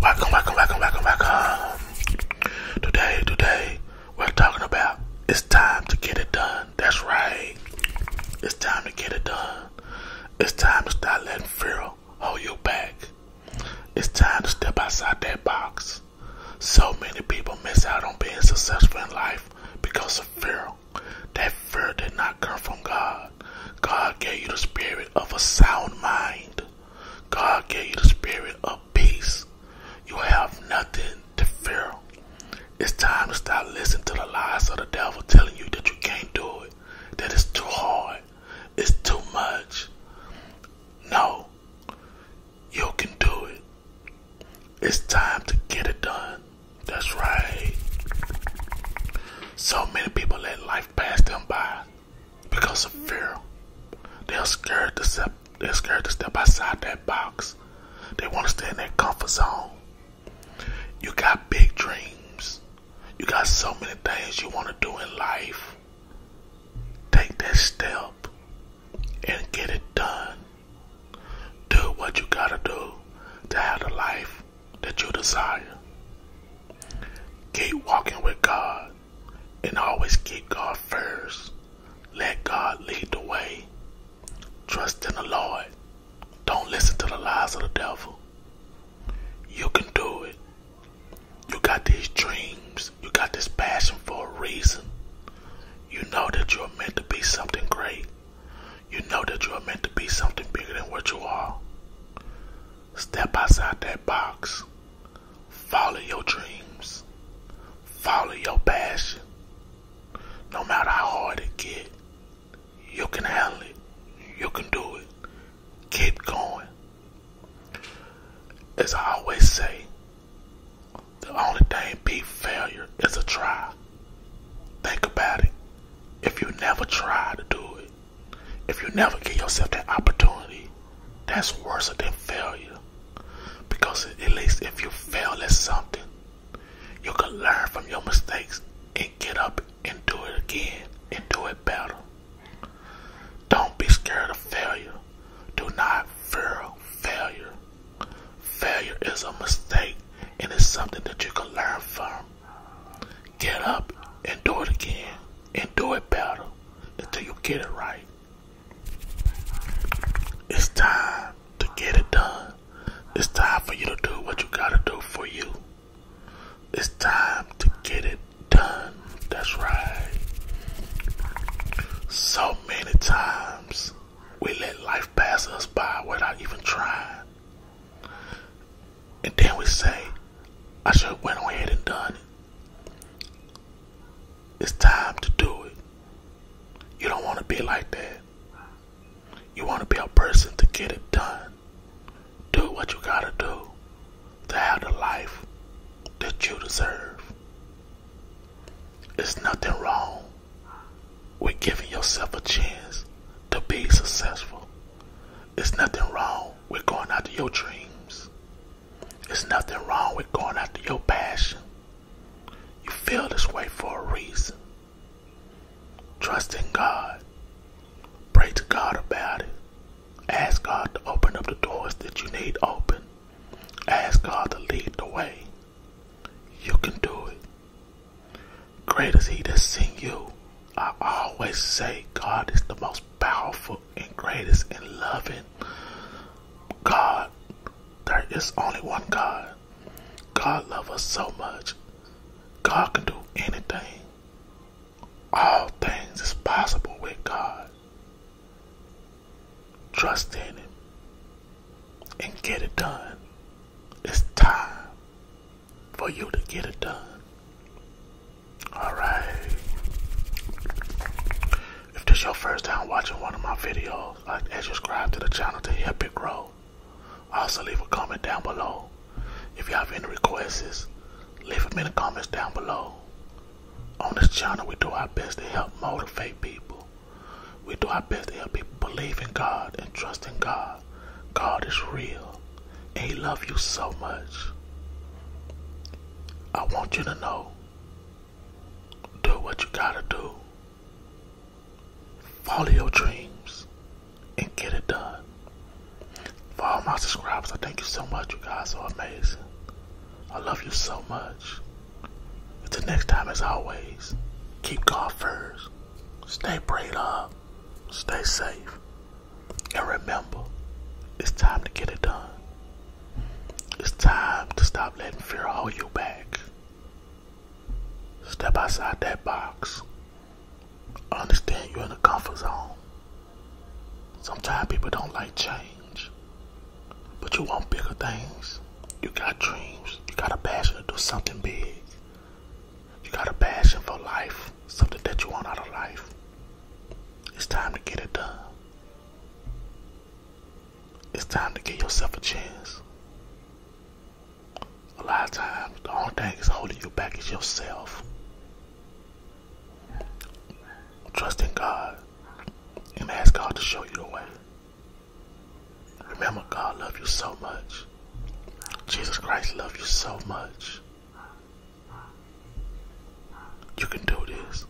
Welcome, welcome, welcome, welcome, welcome. Today, today, we're talking about it's time to get it done. That's right. It's time to get it done. It's time to stop letting fear hold you back. It's time to step outside that box. So many people miss out on being successful in life because of fear. That fear did not come from God. God gave you the spirit of a sound mind. God gave you the spirit of peace. You have nothing to fear. It's time to stop listening to the lies of the devil telling you that you can't do it, that it's too hard, it's too much. No, you can do it. It's time to get it done. That's right. So many people let life pass them by because of fear. They're scared to step. They're scared to step outside that box. They want to stay in that comfort zone. You got big dreams. You got so many things you want to do in life. Take that step and get it done. Do what you gotta do to have the life that you desire. Keep walking with God and always keep God first. Let God lead the way. Trust in the Lord. Don't listen to the lies of the devil. You can do it. You got these dreams. You got this passion for a reason. You know that you're meant to be something great. You know that you are meant to be something bigger than what you are. Step outside that box. Follow your dreams. Follow your passion. No matter how hard it gets, you can handle it. You can do it. Keep going. As I always say, the only thing beat failure is a try. Think about it. If you never try to do it, if you never give yourself that opportunity, that's worse than failure. Because at least if you fail at something, you can learn from your mistakes and get up and do it again and do it better. Don't be scared of failure. Do not fear failure. Failure is a mistake and it's something that you can learn from. Get up and do it again and do it better until you get it right. It's time to get it done. It's time for you to do what you gotta do for you. It's time to get it done. That's right. So many many times we let life pass us by without even trying. And then we say, I should have went ahead and done it. It's time to do it. You don't want to be like that. You want to be a person to get it done. Do what you gotta do to have the life that you deserve. There's nothing wrong with giving yourself a chance to be successful. There's nothing wrong with going after your dreams. There's nothing wrong with going after your passion. You feel this way for a reason. Trust in God. Pray to God about it. Ask God to open up the doors that you need open. Ask God to lead the way. You can do it. Great is He that's in you. I always say God is the most powerful and greatest and loving God. There is only one God. God loves us so much. God can do anything. All things is possible with God. Trust in Him and get it done. It's time for you to get it done. Alright. If this your first time watching one of my videos, like to subscribe to the channel to help it grow. Also leave a comment down below if y'all have any requests, leave them in the comments down below. On this channel, we do our best to help motivate people. We do our best to help people believe in God and trust in God. God is real, and He loves you so much. I want you to know do what you gotta do, follow your dreams, and get it done. For all my subscribers, I thank you so much. You guys are amazing. I love you so much. Until next time, as always, keep God first. Stay prayed up. Stay safe. And remember, it's time to get it done. It's time to stop letting fear hold you back. Step outside that box. I understand you're in a comfort zone. Sometimes people don't like change. But you want bigger things. You got dreams. You got a passion to do something big. You got a passion for life. Something that you want out of life. It's time to get it done. It's time to give yourself a chance a lot of times the only thing that's holding you back is yourself. Trust in God and ask God to show you the way. Remember, God loves you so much. Jesus Christ loves you so much. You can do this.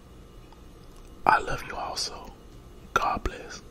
I love you also. God bless.